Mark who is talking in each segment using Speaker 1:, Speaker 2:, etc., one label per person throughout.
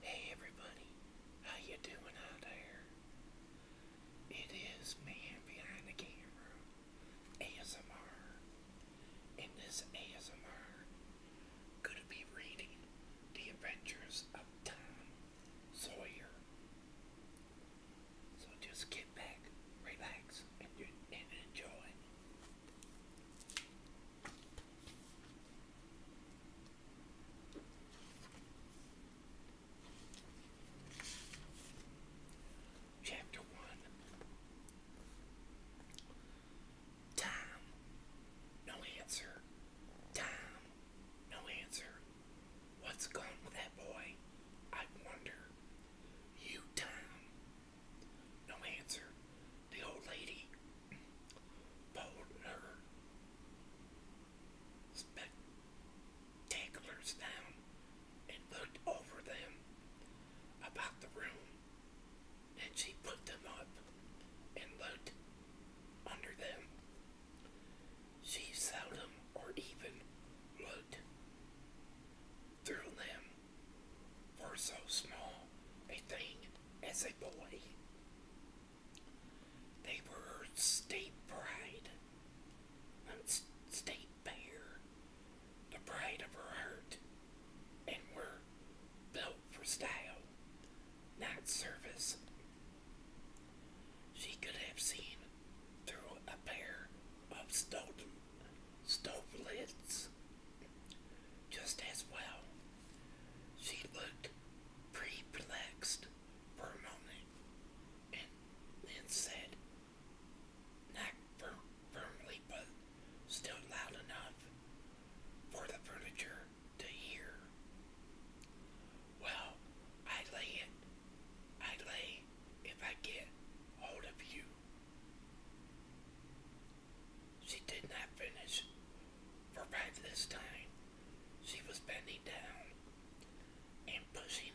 Speaker 1: Hey everybody, how you doing out there? It is man behind the camera, ASMR. and this ASMR, gonna be reading The Adventures of Tom Sawyer. So just get back, relax, and enjoy. Chapter one Tom, no answer. Tom, no answer. What's with that boy? I wonder. You, Tom, no answer. The old lady pulled her spectaculars down and looked over them about the room. Then she put them up and looked under them. She seldom or even looked through them for so small a thing as a boy. They were state pride and um, state pair, the pride of her heart, and were built for style, not service. She could have seen through a pair of stove, stove lids just as well. She looked perplexed for a moment and then said, not firmly but still loud enough for the furniture to hear. Well, I lay it. I lay if I get hold of you. She did not finish, for by this time she was bending down and pushing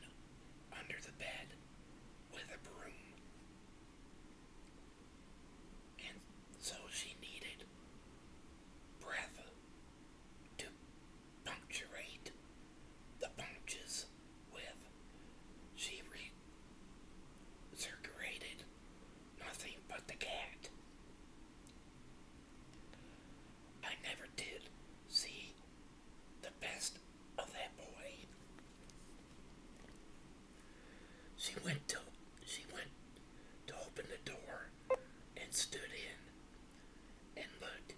Speaker 1: under the bed with a broom. And so she needed breath to puncturate the punches with. She recirculated nothing but the cat. I never did see the best of that boy. She went to she went to open the door and stood in and looked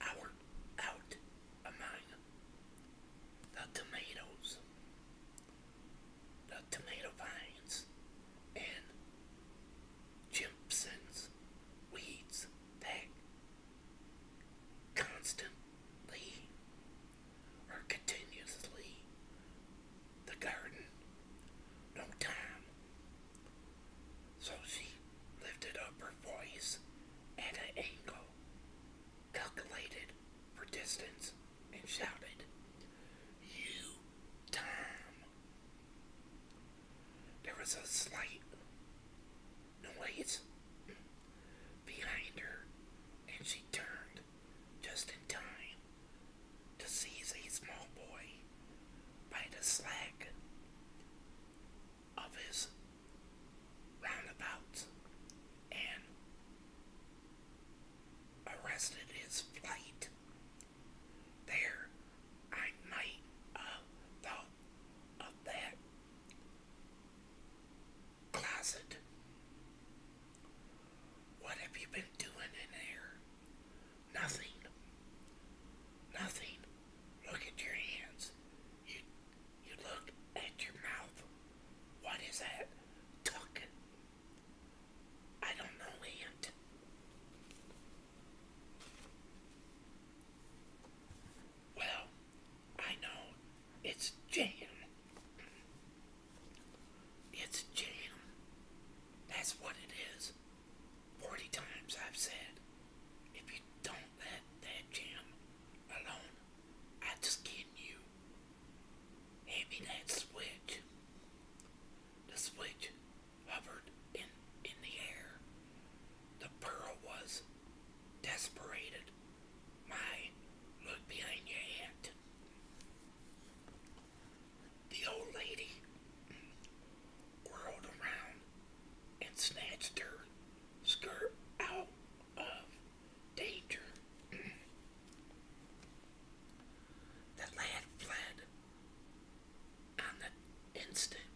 Speaker 1: out out among the tomatoes the tomato vines and Jimpson's weeds that constantly or continuously the garden no time. So she lifted up her voice at an angle calculated for distance and shouted, You, Tom! There was a slight noise behind her, and she turned just in time to seize a small boy by the slack of his roundabout and arrested his flight. There, I might have thought of that closet. What have you been doing in there? Nothing. Nothing. Look at your hands. You you look at your mouth. What is that? talking? I don't know, Aunt. Well, I know it's jam. It's jam. That's what it is. Forty times I've said, if you don't let that jam alone, I just kidding you. Having that switch, the switch hovered in, in the air. The pearl was desperated. My look behind your hat. The old lady whirled around and snatched her skirt out of danger. the lad fled on the instant,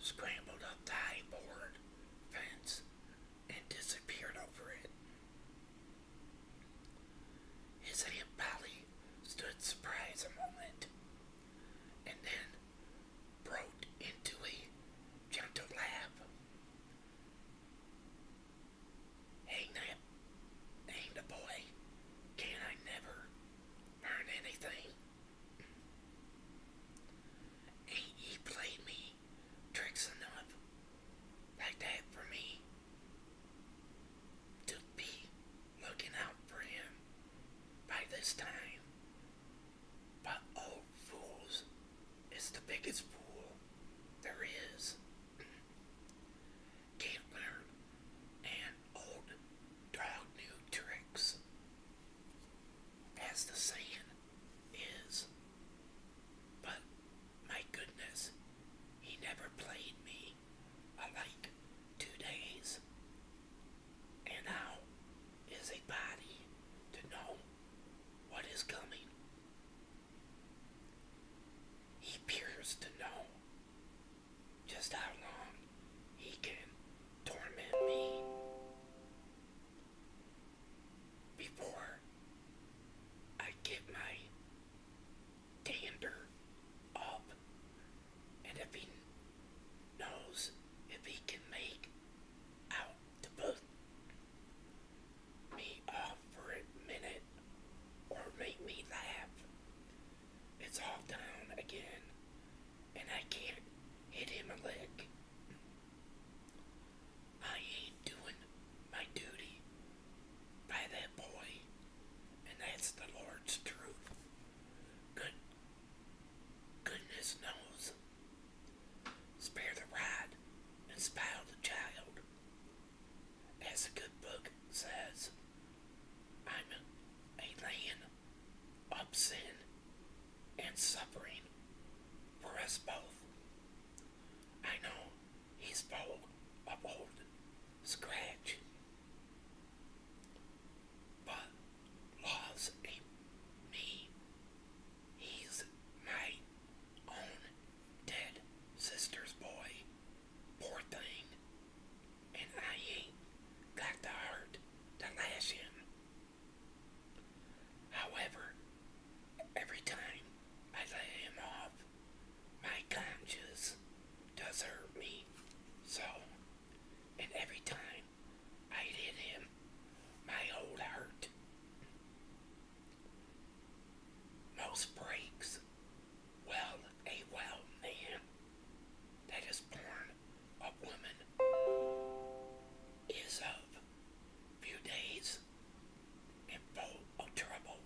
Speaker 1: scrambled up the high board fence, and disappeared over it. His Aunt Polly stood surprised a moment, and then broke into a gentle laugh. Ain't that, ain't a boy? Can I never earn anything? Ain't ye played me tricks enough like that for me to be looking out for him by this time? But oh fools, is the biggest fool there is. Can't learn an old dog new tricks. As the saying is. But my goodness, he never played me alike two days. And now a body to know what is coming. He appears to know just how long he can torment me before I get my dander up. And if he knows if he can make out the both me off for a minute or make me laugh. It's all down again, and I can't hit him a lick. I ain't doing my duty by that boy, and that's the Lord's truth. Good, goodness knows. Spare the rod and spoil the child. As a good book says, I'm a land of sin and suffering for us both. I know he's full of old scratch, but loves a me. He's my own dead sister's boy. Poor thing. And I ain't got the heart to lash him. However, every time I lay him off, my conscience does hurt me. So, and every time I hit him, my old heart most breaks well a well man that is born of woman is of few days and full of trouble,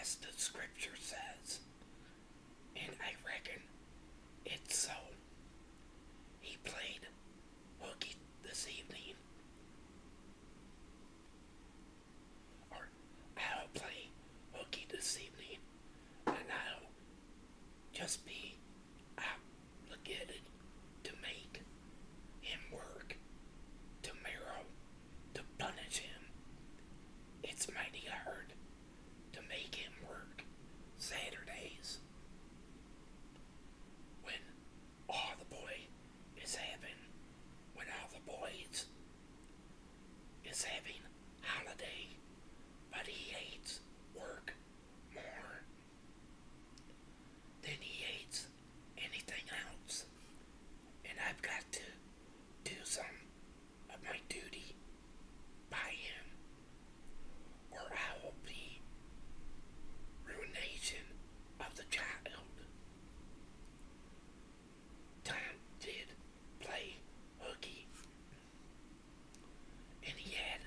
Speaker 1: as the scripture says, and I reckon it's so. He played hooky this evening or I'll play hooky this evening and I'll just be obligated to make him work tomorrow to punish him. It's mighty hard to make him work Saturdays when all oh, the boy is having, when all the boys is having holiday, but he hates work more than he hates anything else. And I've got to do some of my duty by him, or I will be ruination of the child. Tom did play hooky, and he had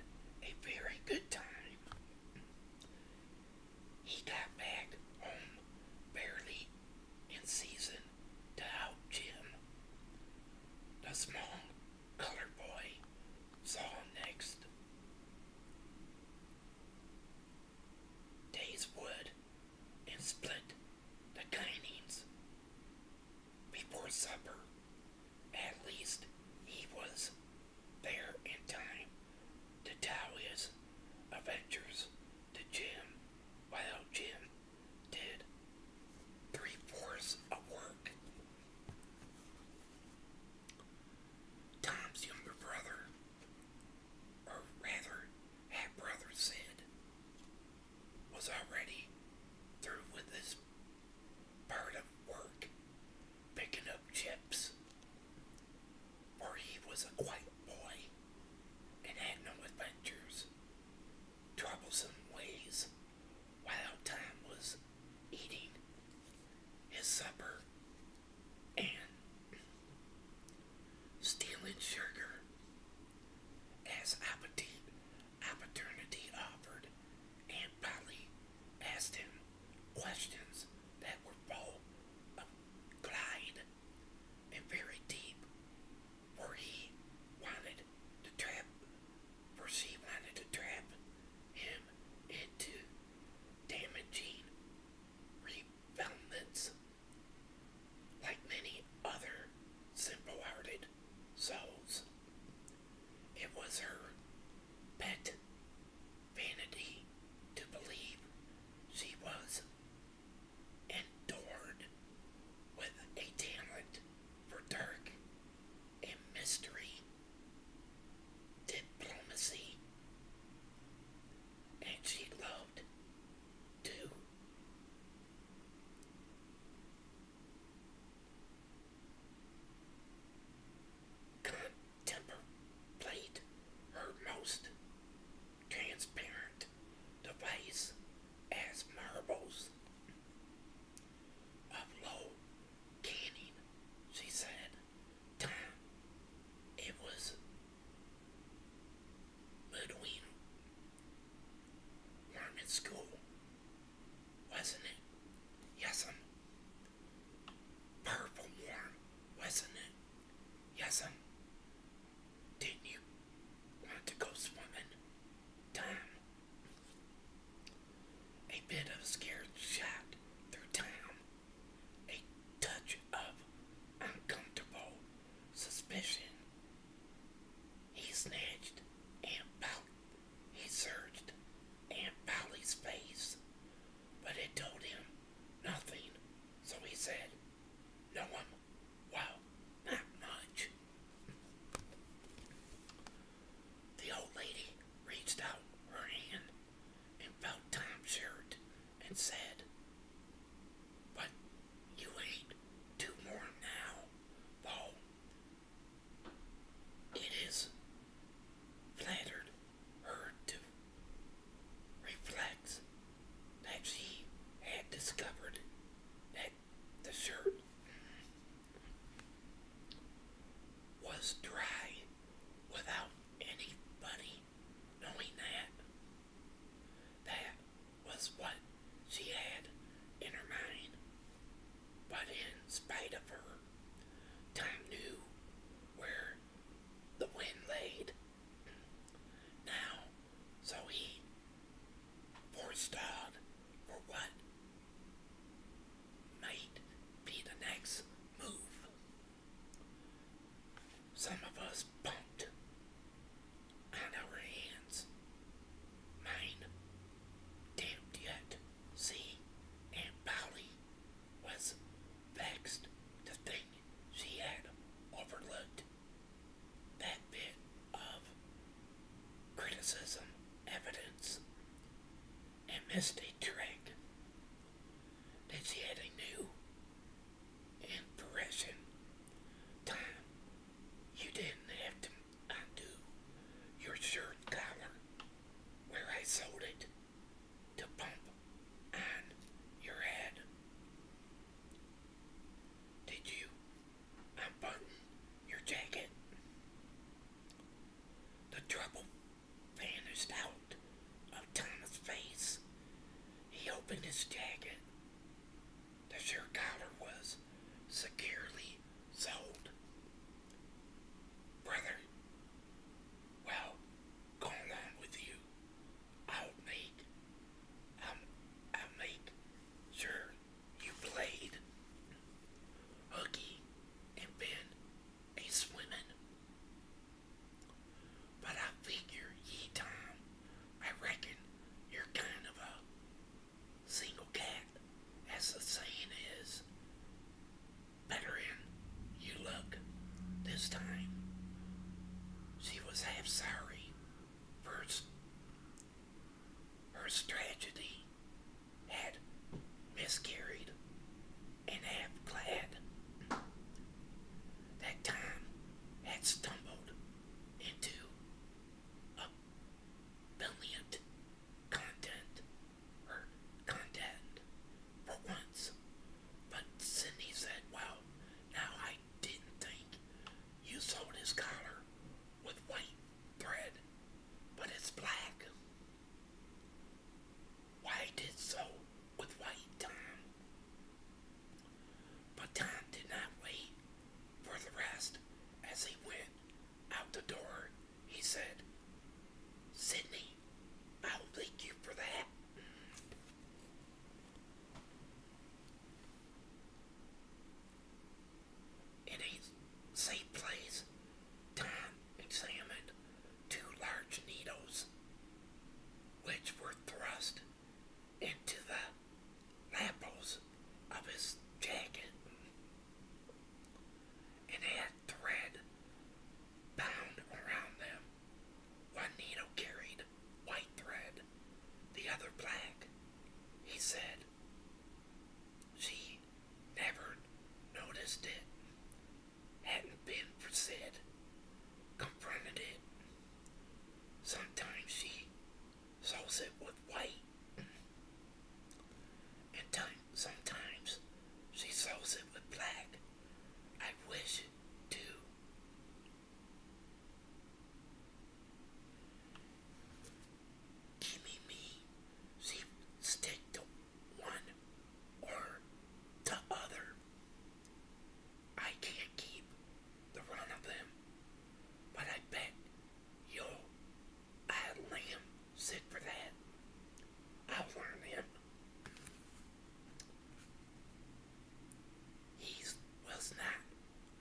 Speaker 1: a very good time. He got back home barely in season to help Jim. The small colored boy saw him next. Days wood and split the kinings. Before supper, at least he was there in time to tell his adventures to Jim while Jim did three fourths of work. Tom's younger brother or rather half-brother said, was already through with his part of work picking up chips, for he was a quiet boy and had no adventures, troublesome ways, while Tom was eating his supper and stealing sugar as opportunity offered, and Polly asked him questions that were full of pride and very deep, for he wanted to trap, for she wanted to trap him into damaging filaments, like many other simple hearted souls. It was her pet vanity to believe she was endured with a talent for dark and mystery diplomacy, and she loved loved too. her most transparent device as marbles of low canning, she said it was between Mormon school, wasn't it? Yes, I'm purple warm, wasn't it? Yes, I'm. Didn't you want to go swimming? Time. A bit of scared shot through time a touch of uncomfortable suspicion. He snatched and pout he searched Aunt Polly's face, but it told him nothing, so he said, No one well, not much. The old lady reached out her hand and felt Tom's shirt and said, But you ain't too warm now, though. It is flattered her to reflect that she had discovered that the shirt was dry without anybody knowing that. That was what she had in her mind. But in spite of her, Tom knew where the wind laid. Now, so he forestalled for what might be the next move. Some of us bumped on our hands. Mine damned yet. See, Aunt Polly was vexed to think she had overlooked that bit of criticism evidence and missed a trick that she had a new in prison time, you didn't have to undo your shirt collar where I sold it to pump on your head. Did you unbutton your jacket? The trouble vanished out of Thomas' face. He opened his jacket. The shirt collar was securely sold. Brother, well, go along with you. I'll make, I'll, I'll make sure you played Hooky and been a swimming. But I figure, ye Tom, I reckon you're kind of a single cat, as the saying is. Better in you look this time. She was half sorry for her tragedy had miscarried and half glad that Tom had stumbled into a brilliant content or content for once. But Sydney said, Well, now I didn't think you sewed his collar with white thread, but it's black. Why did so with white, Tom? But Tom did not wait for the rest. As he went out the door, he said, Sydney, I'll thank you for that. In a safe place, Tom examined two large needles which were thrust into the lapels of his jacket and had thread bound around them. One needle carried white thread, the other black. He said she never noticed it, hadn't been for Sid, confronted it. Sometimes she salts it with white, and sometimes she salts it with black. I wish to. Gimme me, she stick to one or the other. I can't keep the run of them. But I bet you'll I had Liam sit for that. I'll him. He was not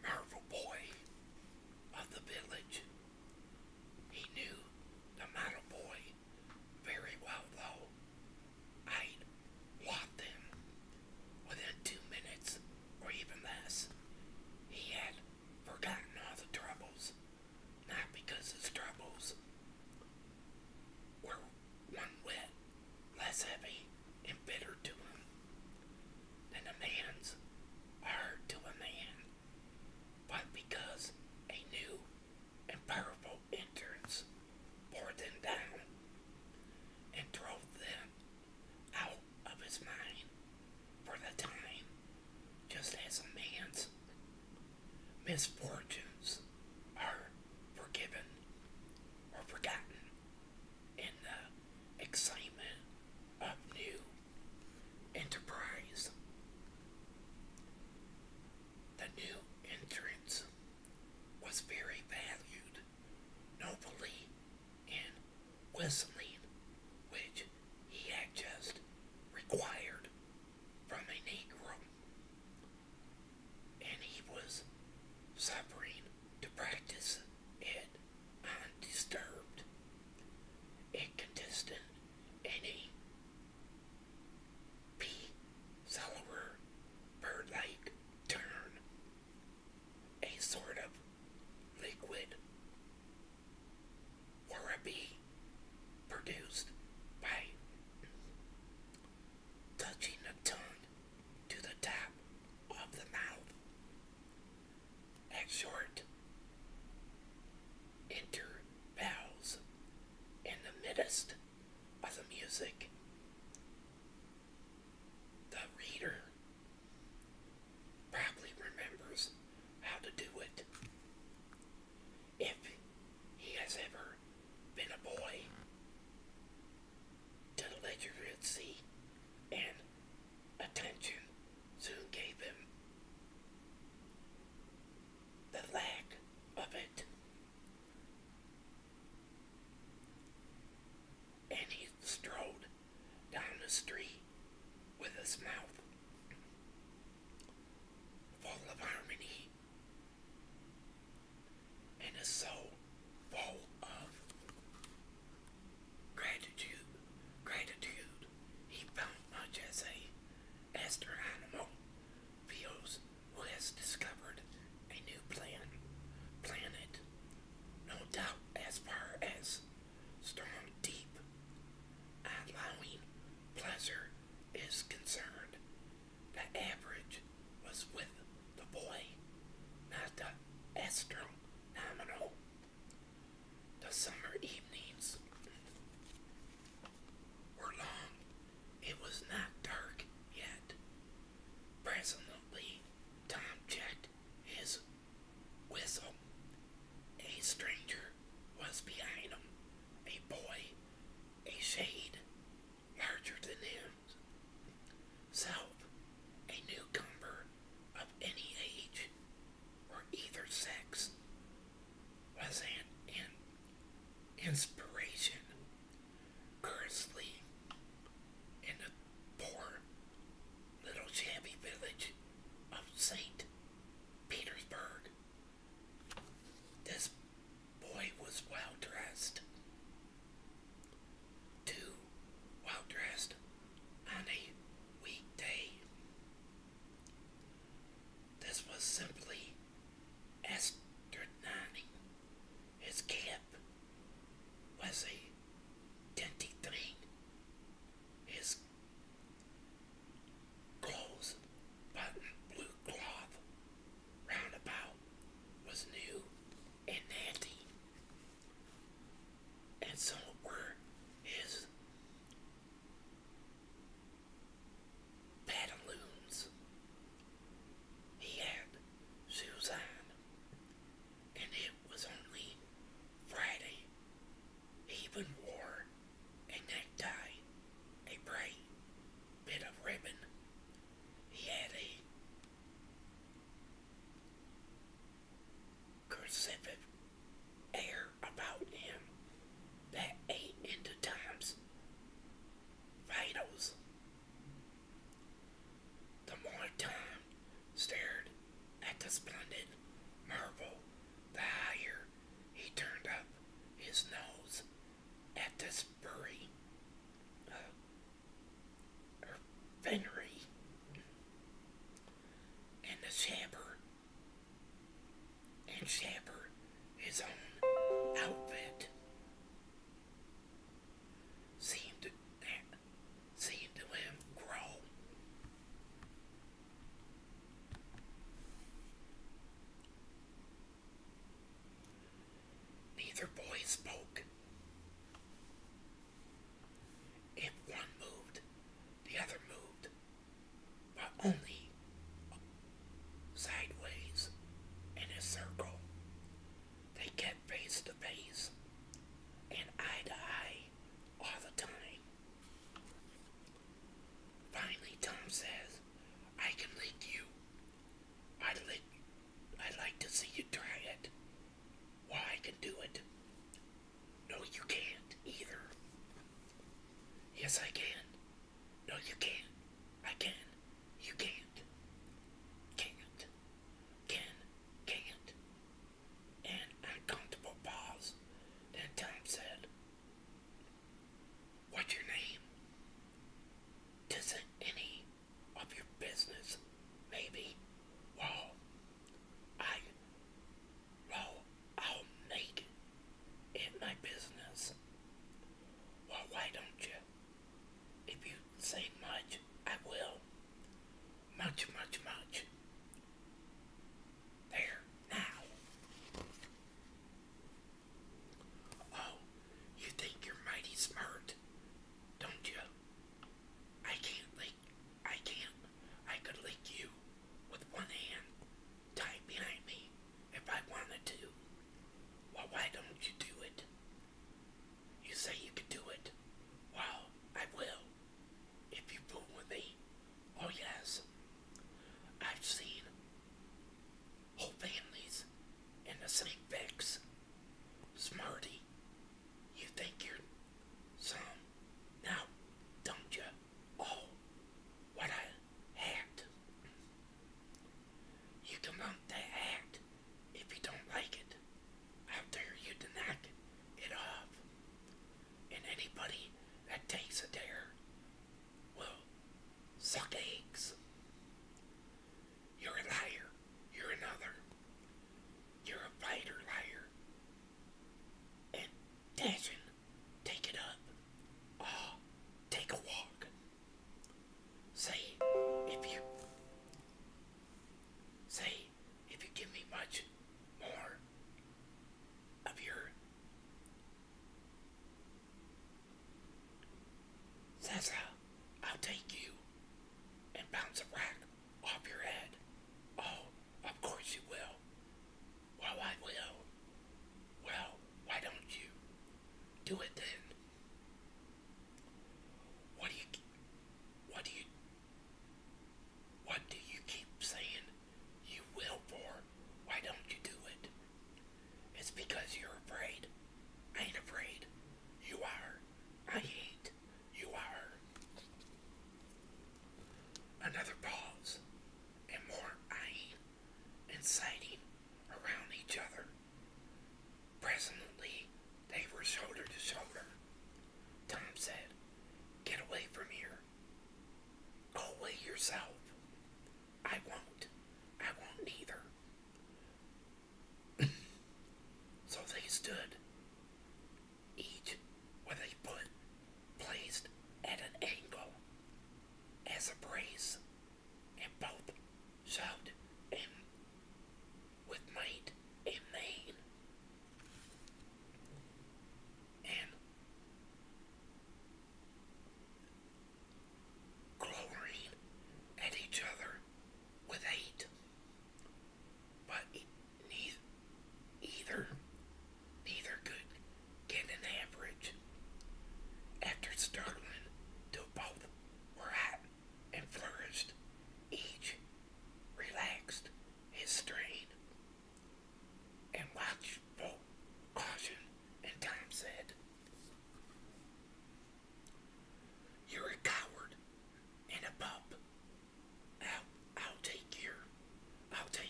Speaker 1: Marvel Boy of the village. He knew the Matter boy very well though. I'd want them within two minutes or even less. He had forgotten all the troubles, not because his troubles were one whit less heavy and bitter to him than a man's heart to a man, but because a new and powerful entrance bore them down and drove them out of his mind for the time, just as a man's misfortunes are forgiven or forgotten in the excitement of new enterprise. The new entrance was very valued nobly in whistling, which he had just required from a Negro, and he was suffering to practice it undisturbed, inconsistent, and P. Cellular bird like turn a sort of liquid Warabi produced by touching the tongue to the top of the mouth at short intervals in the midst of the music the reader probably remembers how to do it. If he has ever been a boy to the literacy and attention soon gave him. The lack of it and he strode down the street with his mouth full of harmony and his soul full of gratitude. Gratitude. He felt much as a astronomical feels who has discovered a new plan, planet, no doubt as far as storm deep, allowing pleasure is concerned. The average was with the boy, not the astronomical. The summer evenings were long. It was not dark yet, Presently, Tom checked his whistle. A stranger was behind him, a boy, a shade larger than him. himself, a newcomer of any age or either sex was an, an inspiration. Curiously, in the poor little shabby village of St. Petersburg. This boy was well dressed. Too well dressed on a weekday. This was simply astronomical his camp was a dinty thing. His clothes, button blue cloth, roundabout, was new and natty, and so were his pantaloons he had Suzanne, and it was only Friday. He even wore a necktie, a bright bit of ribbon. He had a cursive air about him that ain't into Tom's vitals. The more time stared at the splendid marvel, the higher he turned up his nose at the furry uh, or finery, and the shabber and shabber his own outfit seemed. That Seeing to him grow. Neither boy spoke. If one moved, the other moved, but only sideways in a circle they get face to face and eye to eye all the time. Finally, Tom says, I can lick you. I'd, lick, I'd like to see you try it. Well, I can do it. No, you can't either. Yes, I can. No, you can't. I can. You can't. Can't can, can't, and uncomfortable pause. Then Tom said, What's your name? does not any of your business, maybe? Well, I, well, I'll make it my business. Well, why don't you if you say much, I will. Much, much, much. There, now. Oh, you think you're mighty smart, don't you? I can't lick, I can't, I could lick you with one hand tied behind me if I wanted to. Well, why don't you do it? You say you can do it. Well, I will. If you fool with me. Oh, yes. I've seen whole families in the same fix. Smarty, you think you're some. Now, don't you? Oh, what I hat. You can mount that hat if you don't like it. How dare you to it off? And anybody that takes a dare well, suck eggs. You're a liar. You're another. You're a fighter liar. And Dashin, take it up. Ah, take a walk. See if you Say, if you give me much more of your Sessa, I'll take you and bounce a rack off your head. Oh, of course you will. Well, I will. Well, why don't you do it then? What do you what do you what do you keep saying you will for? Why don't you do it? It's because you're afraid. I ain't afraid. You are. I ain't. You are. Another pause and more eyeing and sighting around each other. Presently, they were shoulder to shoulder. Tom said, Get away from here. Go away yourself. I won't. I won't either." so they stood, each with a foot placed at an angle as a brace, and both shoved and with might and main. And glowering at each other with hate. But neither, neither could get an average. After struggling till both were hot and flourished, each relaxed his strain and watchful caution, and Tom said, You're a coward and a pup. I'll, I'll take your, I'll take,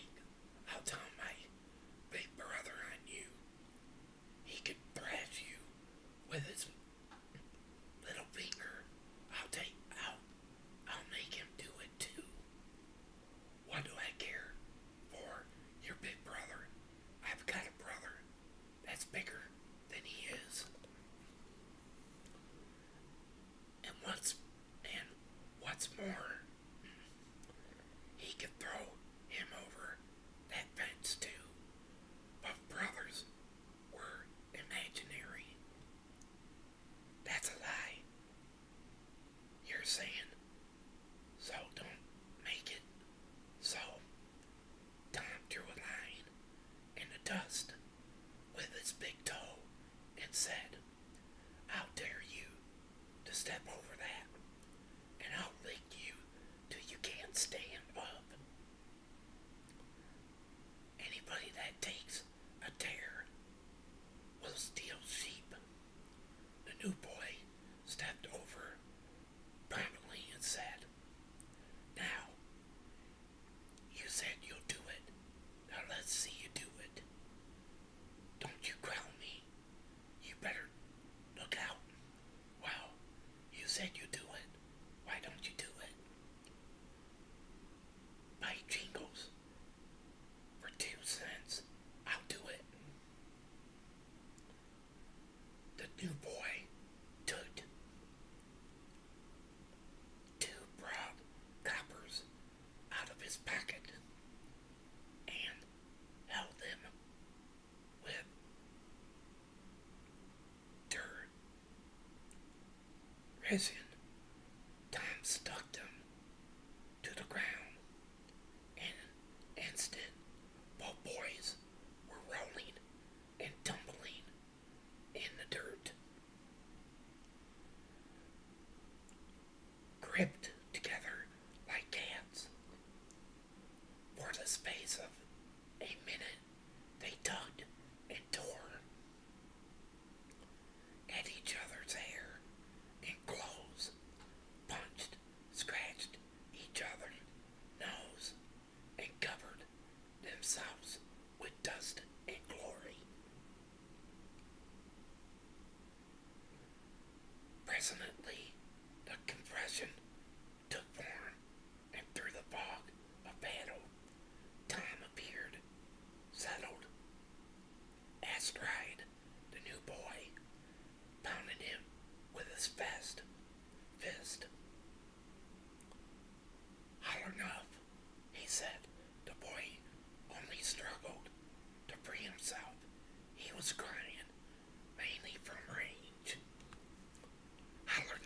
Speaker 1: I'll tell my big brother on you. He could thrash you with his Little I'll take, out. I'll make him do it too. Why do I care for your big brother? I've got a brother that's bigger than he is. And what's, and what's more, he could throw him over that fence too. But brothers were imaginary. That's a lie. You're saying. So don't make it. So Tom drew a line in the dust with his big toe and said, I'll dare you to step over that and I'll lick you till you can't stand up. Anybody that takes a dare will steal sheep. The new boy stepped over promptly and said, Now, you said you'll do it. Now let's see you do it. Don't you growl me. You better look out. Wow, you said you'd do it. Why don't you do it? my jingles for two cents. I'll do it. The new boy took two broad coppers out of his pocket and held them with dirt, resin. Tom stuck them to the ground. In instant, both boys were rolling and tumbling in the dirt. Gripped together like cats for the space of a minute. They tugged and tore at each other's hair and clothes, punched, scratched each other's nose, and covered themselves with dust and glory. Presently, the compression took form and through the fog of battle, Tom appeared, settled. Astride, the new boy, pounded him with his fist. Fist. Hard he said. The boy only struggled to free himself. He was crying, mainly from rage. Hard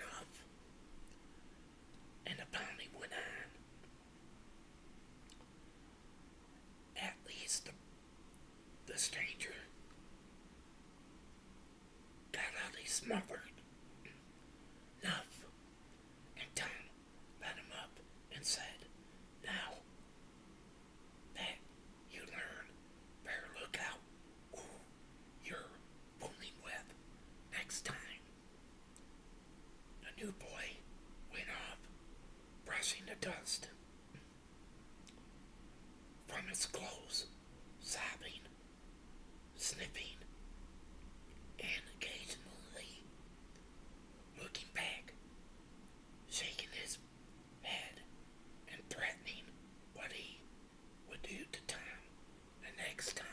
Speaker 1: and the pony went on. At least the, stranger got out he smothered enough, and Tom led him up and said, Now that you learn, better look out you're fooling with next time. The new boy went off, brushing the dust from his clothes, sobbing, sniffing, and occasionally looking back, shaking his head and threatening what he would do to Tom the next time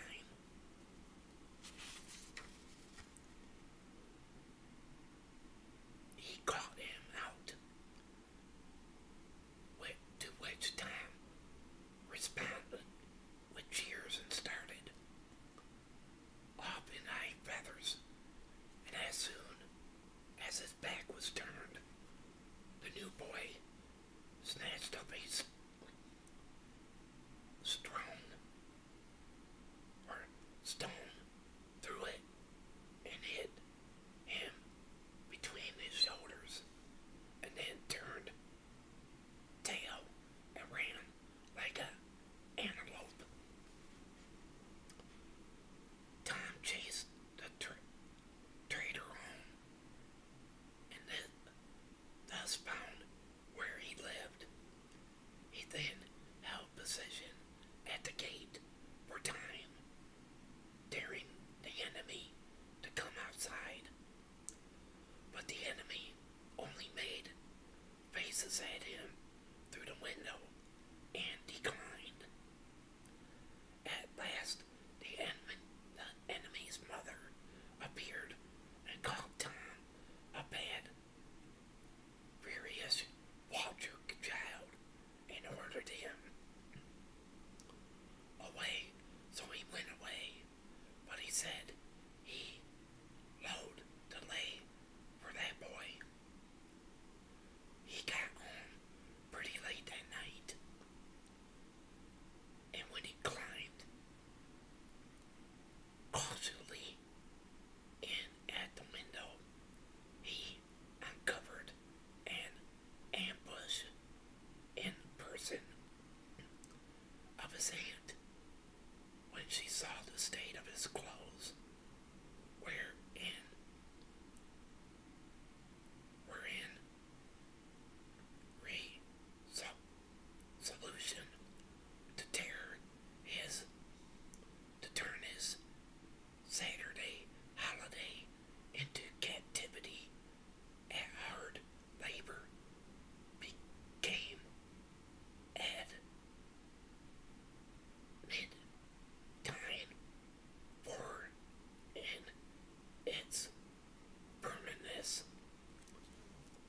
Speaker 1: he called him out, with, to which Tom responded with cheers and started off in high feathers, and as soon as his back was turned, the new boy snatched up his strewn or stone through it and hit him between his shoulders and then turned tail and ran like an antelope. Tom chased the tra trader and then thus found where he lived. He then held position at the gate for time, daring the enemy to come outside. But the enemy only made faces at him through the window and declined. At last, the, the enemy's mother appeared and called Tom a bad, furious, Walter child and ordered him away. So he went away, but he said he load delay for that boy. He got home pretty late that night, and when he climbed Cautiously, in at the window, he uncovered an ambush in person of his aunt when she saw the state of his clothes, wherein, wherein Ray saw solution to tear his to turn his Saturday holiday into captivity at hard labor became at mid for in its Kermit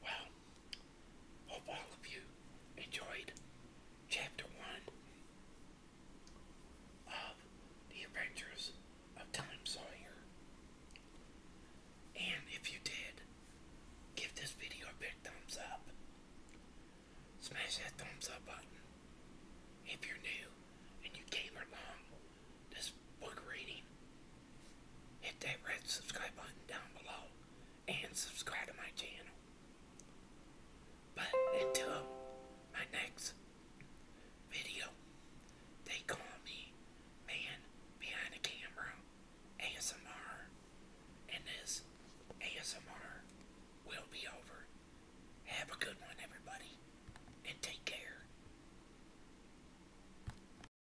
Speaker 1: Well, hope all of you enjoyed Chapter 1 of The Adventures of Tom Sawyer. And if you did, give this video a big thumbs up. Smash that thumbs up button. If you're new and you came along this book reading, hit that red subscribe button down below and subscribe to my channel. But until my next video, they call me Man Behind the Camera ASMR, and this ASMR will be over. Have a good one, everybody, and take care.